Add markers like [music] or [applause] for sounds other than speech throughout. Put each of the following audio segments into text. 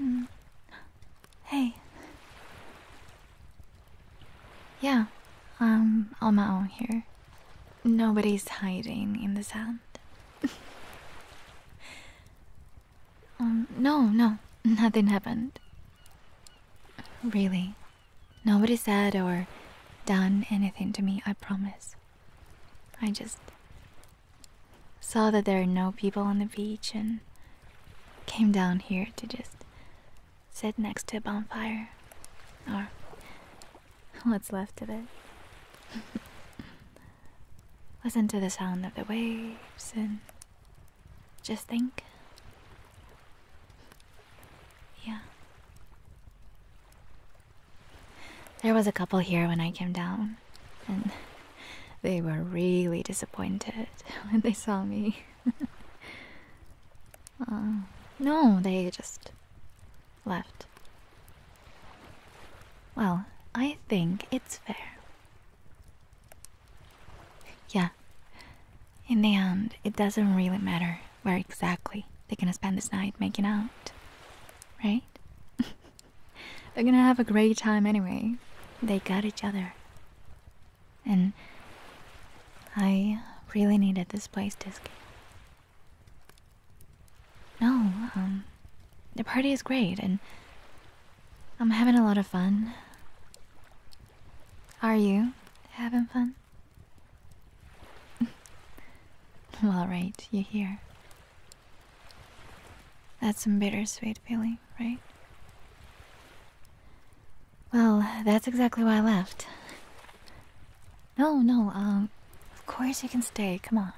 Mm. Hey. Yeah, I'm um, on my own here. Nobody's hiding in the sand. [laughs] Um, no, no, nothing happened. Really. Nobody said or done anything to me, I promise. I just saw that there are no people on the beach and came down here to just sit next to a bonfire or what's left of it. [laughs] Listen to the sound of the waves and just think. Yeah. There was a couple here when I came down, and they were really disappointed [laughs] when they saw me. [laughs] Uh, no, they just left. Well, I think it's fair. Yeah, in the end, it doesn't really matter where exactly they're gonna spend this night making out. Right? [laughs] they're gonna have a great time anyway. They got each other. And I really needed this place to escape. No, um, the party is great and I'm having a lot of fun. Are you having fun? All [laughs] right, you're here. That's some bittersweet feeling, right? Well, that's exactly why I left. No, no, um, of course you can stay, come on.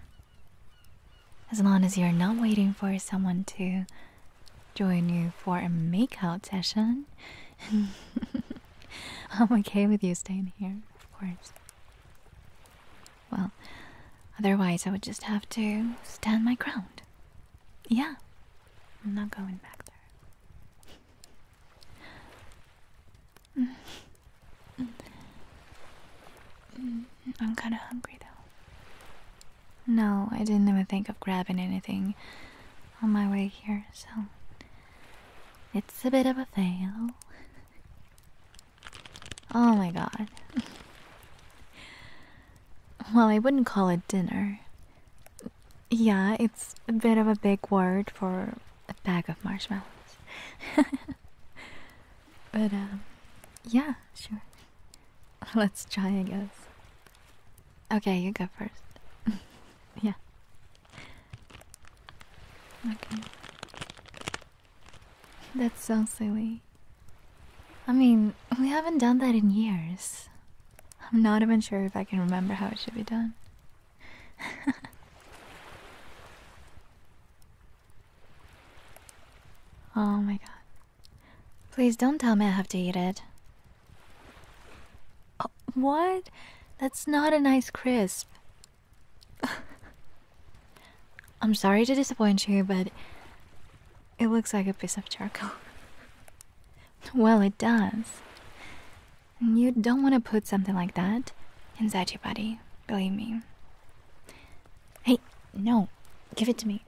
As long as you're not waiting for someone to join you for a makeout session. [laughs] [laughs] I'm okay with you staying here, of course. Well, otherwise, I would just have to stand my ground. Yeah, I'm not going back there. [laughs] I'm kinda hungry though. No, I didn't even think of grabbing anything on my way here, so it's a bit of a fail. oh my god. well, I wouldn't call it dinner. Yeah, it's a bit of a big word for a bag of marshmallows. [laughs] but, um, yeah, sure. [laughs] Let's try, I guess. Okay, you go first. [laughs] yeah. Okay. That's so silly. I mean, we haven't done that in years. I'm not even sure if I can remember how it should be done. [laughs] oh my god. Please don't tell me I have to eat it. Uh, what? That's not a nice crisp. [laughs] I'm sorry to disappoint you, but it looks like a piece of charcoal. [laughs] well, it does. You don't want to put something like that inside your body, believe me. Hey, no, give it to me.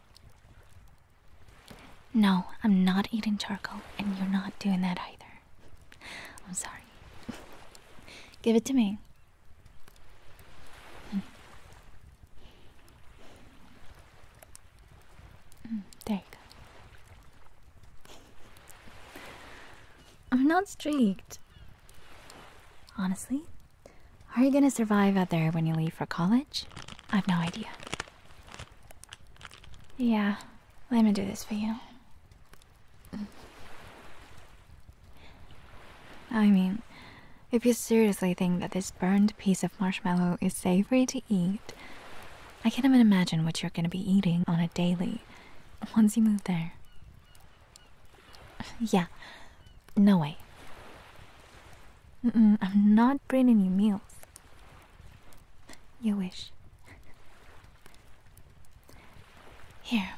No, I'm not eating charcoal, and you're not doing that either. I'm sorry. Give it to me. there you go. I'm not streaked. Honestly, are you gonna survive out there when you leave for college? I've no idea. Yeah, let me do this for you. I mean, if you seriously think that this burned piece of marshmallow is savory to eat, I can't even imagine what you're gonna be eating on a daily once you move there. Yeah, no way. I'm not bringing you meals. Your wish. Here.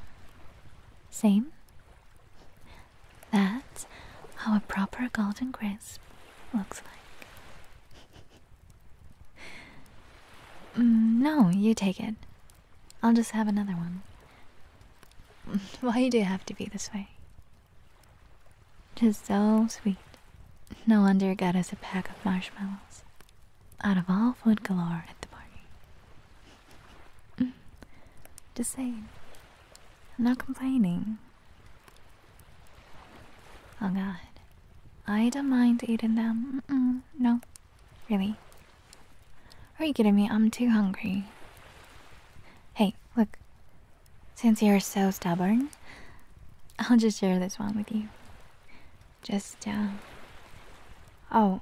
Same? That's how a proper golden crisp looks like. Mm, no, you take it. I'll just have another one. [laughs] Why do you have to be this way? Just so sweet. No wonder God has a pack of marshmallows. Out of all food galore at the party. Mm. Just saying. I'm not complaining. Oh god. I don't mind eating them. no. Really? Are you kidding me? I'm too hungry. Hey, look. Since you're so stubborn, I'll just share this one with you. Just, uh. Oh.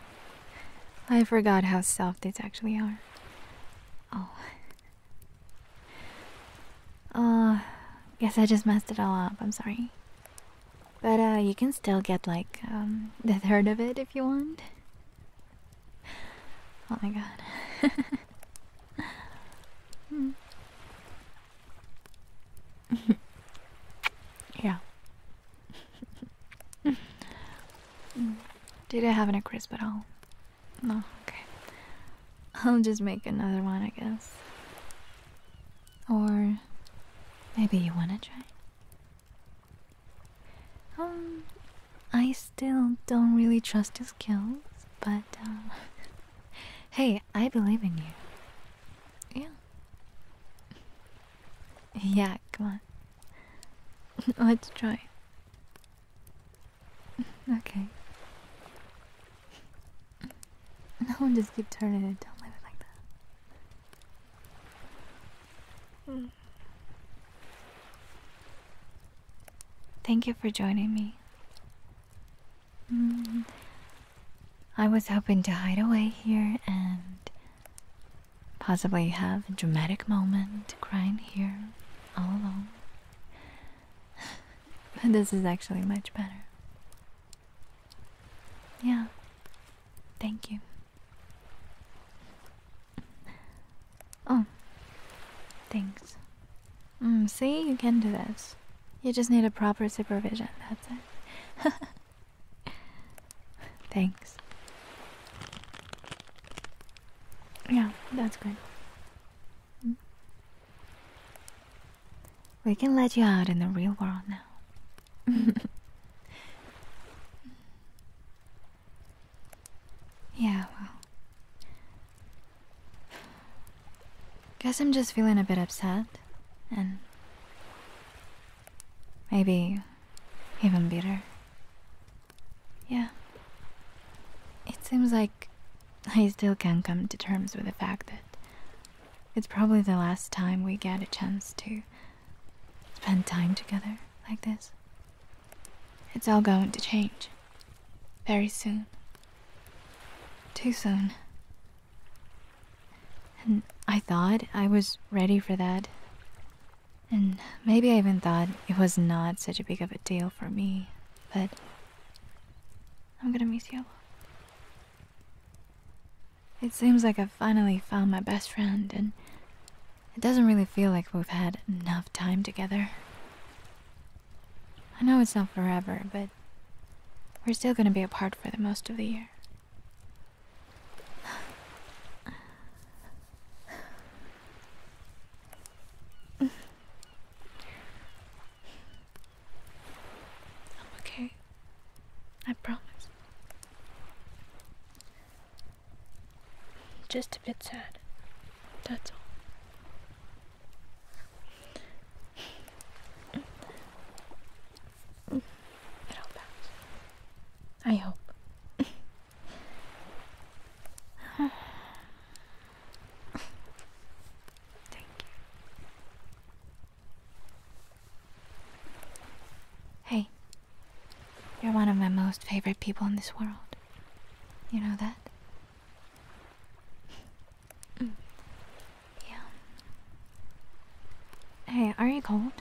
[laughs] I forgot how soft these actually are. Oh. Uh, guess I just messed it all up. I'm sorry. But, uh, you can still get, like, um, the third of it if you want. Oh my god. [laughs] Mm. [laughs] yeah. Did I have any crisp at all? No, okay. I'll just make another one, I guess. Or maybe you want to try? Um, I still don't really trust his skills, but um, [laughs] hey, I believe in you. Yeah. Yeah, come on. [laughs] Let's try. [laughs] Okay. No, one just keep turning it. Don't leave it like that. Hmm. Thank you for joining me. Mm. I was hoping to hide away here and possibly have a dramatic moment crying here all alone. [laughs] but this is actually much better. Yeah. Thank you. Oh, thanks. Mm, see, you can do this. You just need a proper supervision, that's it. [laughs] thanks. Yeah, that's good. Mm. We can let you out in the real world now. [laughs] yeah, well, Guess I'm just feeling a bit upset and maybe even bitter. Yeah. It seems like [laughs] I still can't come to terms with the fact that it's probably the last time we get a chance to spend time together like this. It's all going to change. Very soon. Too soon. And I thought I was ready for that. And maybe I even thought it was not such a big of a deal for me, but I'm gonna miss you. It seems like I've finally found my best friend, and it doesn't really feel like we've had enough time together. I know it's not forever, but we're still gonna be apart for the most of the year. [sighs] I'm okay. I promise. Just a bit sad. That's all. It'll pass. I hope. Thank you. Hey, you're one of my most favorite people in this world. You know that? Mm. yeah. Hey, are you cold?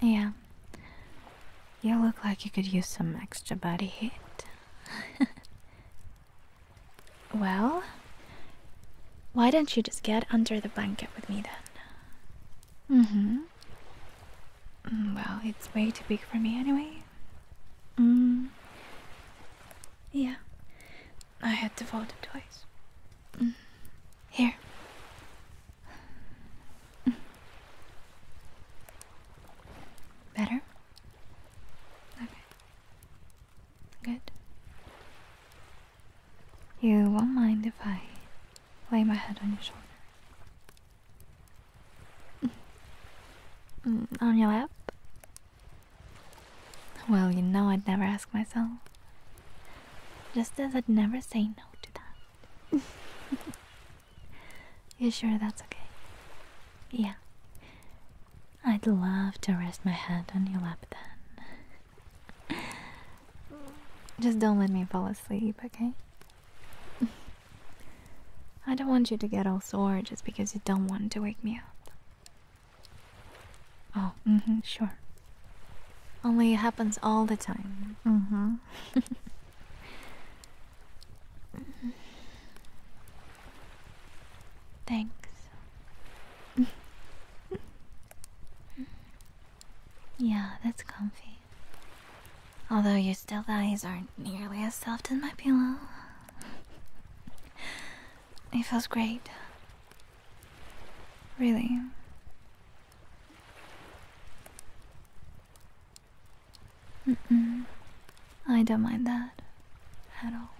Yeah. You look like you could use some extra body heat. [laughs] well, why don't you just get under the blanket with me then? Mm hmm. Mm, well, it's way too big for me anyway. Mm. Yeah, I had to fold it twice. Mm. Here. Better? Okay. Good. You won't mind if I lay my head on your shoulder. Mm, on your lap? Well, you know I'd never ask myself. Just as I'd never say no to that. [laughs] you sure that's okay? Yeah. I'd love to rest my head on your lap then. [laughs] Just don't let me fall asleep, okay? I don't want you to get all sore just because you don't want to wake me up. Oh, mm hmm, sure. Only it happens all the time. Mm hmm. [laughs] Thanks. [laughs] yeah, that's comfy. Although your still eyes aren't nearly as soft as my pillow. it feels great. Really. I don't mind that at all.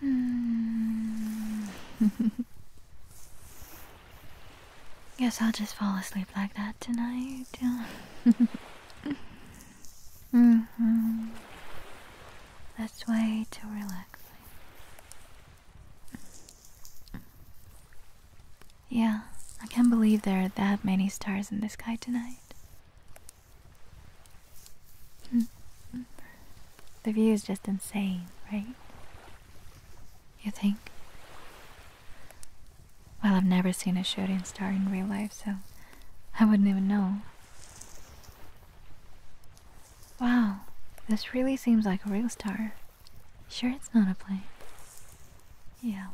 Hmm. [laughs] Guess I'll just fall asleep like that tonight. [laughs] Mm-hmm. That's way too relaxing. Yeah, I can't believe there are that many stars in the sky tonight. [laughs] The view is just insane, right? You think? Well, I've never seen a shooting star in real life, so I wouldn't even know. Wow, this really seems like a real star. Sure it's not a plane? Yeah,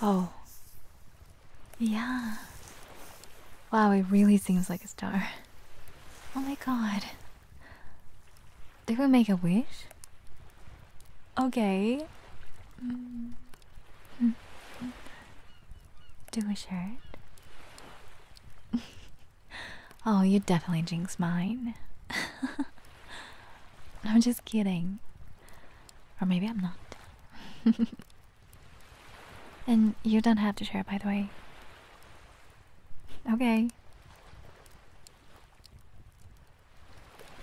Oh. Yeah. Wow, it really seems like a star. Oh my god. They we make a wish? Okay. Mm. Do we share it? oh, you definitely jinxed mine. [laughs] I'm just kidding. Or maybe I'm not. [laughs] and you don't have to share, it, by the way. Okay.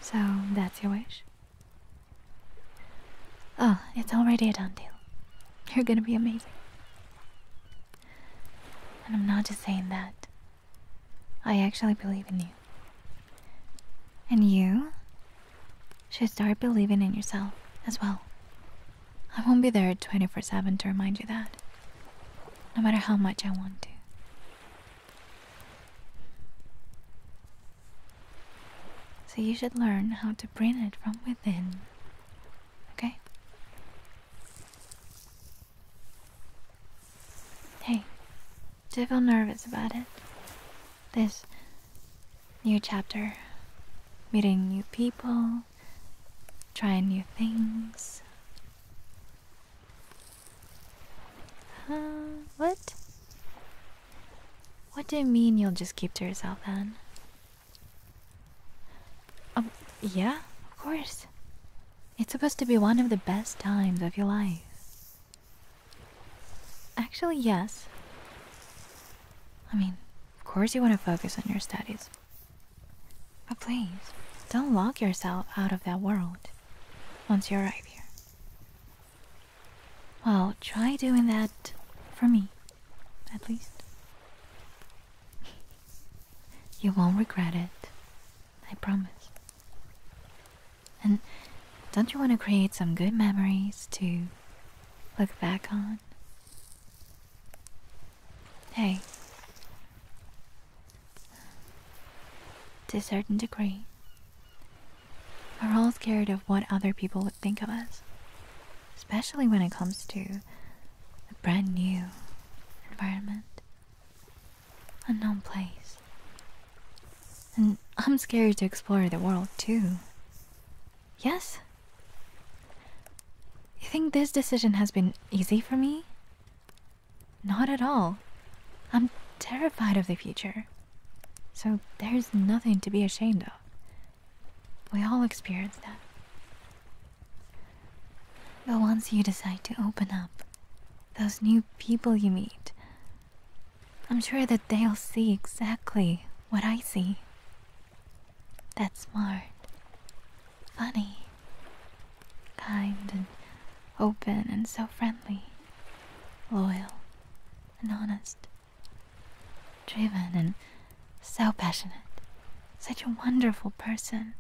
So that's your wish? Oh, it's already a done deal. You're gonna be amazing. And I'm not just saying that. I actually believe in you. And you should start believing in yourself as well. I won't be there 24 7 to remind you that, no matter how much I want to. So you should learn how to bring it from within, okay? Hey, do you feel nervous about it? This new chapter, meeting new people, trying new things. Huh? what? What do you mean you'll just keep to yourself then? Um, yeah, of course. It's supposed to be one of the best times of your life. Actually, yes. I mean, of course you want to focus on your studies, but please, don't lock yourself out of that world once you arrive here. Well, try doing that for me, at least. [laughs] you won't regret it, I promise. And don't you want to create some good memories to look back on Hey. To a certain degree, we're all scared of what other people would think of us, especially when it comes to a brand new environment, unknown place. And I'm scared to explore the world too. Yes? You think this decision has been easy for me? Not at all. I'm terrified of the future. So there's nothing to be ashamed of. We all experience that. But once you decide to open up, those new people you meet, I'm sure that they'll see exactly what I see. That's smart, funny, kind and open and so friendly, loyal and honest, driven and so passionate. Such a wonderful person.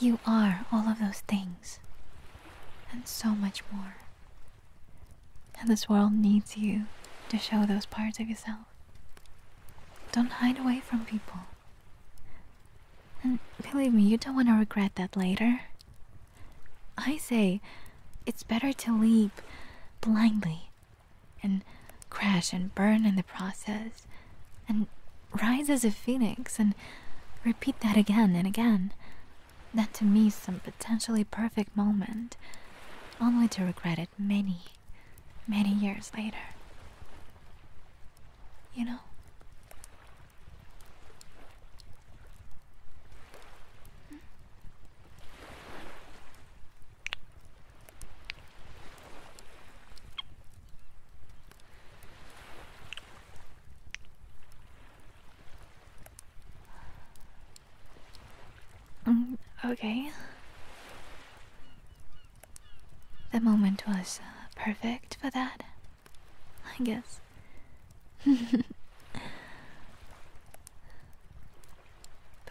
You are all of those things and so much more. And this world needs you to show those parts of yourself. Don't hide away from people. And believe me, you don't want to regret that later. I say it's better to leap blindly and crash and burn in the process and rise as a phoenix and repeat that again and again that to me some potentially perfect moment, only to regret it many, many years later. You know? Mm, okay. The moment was uh, perfect for that, I guess. [laughs] but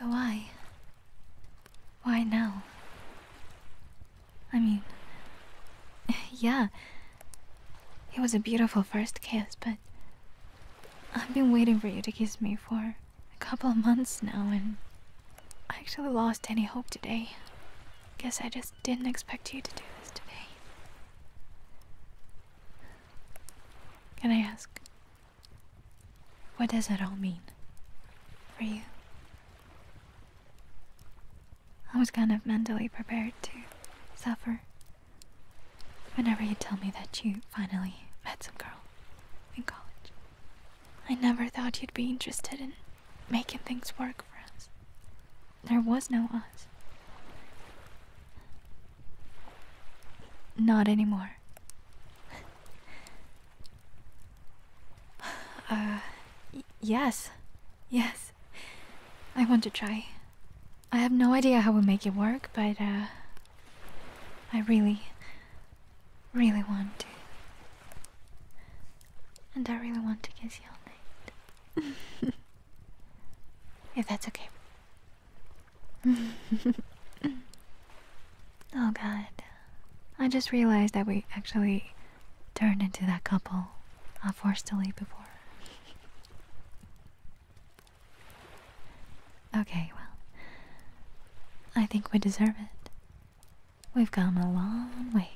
why? Why now? I mean, [laughs] yeah, it was a beautiful first kiss, but I've been waiting for you to kiss me for a couple of months now, and I actually lost any hope today. Guess I just didn't expect you to do this today. Can I ask, what does it all mean for you? I was kind of mentally prepared to suffer Whenever you tell me that you finally met some girl in college, I never thought you'd be interested in making things work for us. There was no us. Not anymore. [sighs] uh, yes. Yes. I want to try. I have no idea how we will make it work, but uh, I really really want to. And I really want to kiss you all night. [laughs] if that's okay. [laughs] oh god. I just realized that we actually turned into that couple I uh, forced to leave before. Okay, well, I think we deserve it. We've come a long way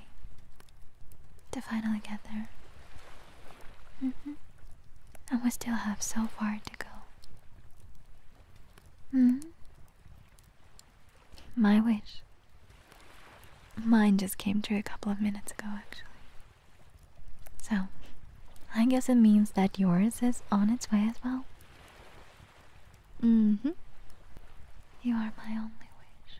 to finally get there. Mm-hmm. And we still have so far to go. Mm-hmm. My wish. Mine just came true a couple of minutes ago, actually. So, I guess it means that yours is on its way as well. Mm-hmm. You are my only wish.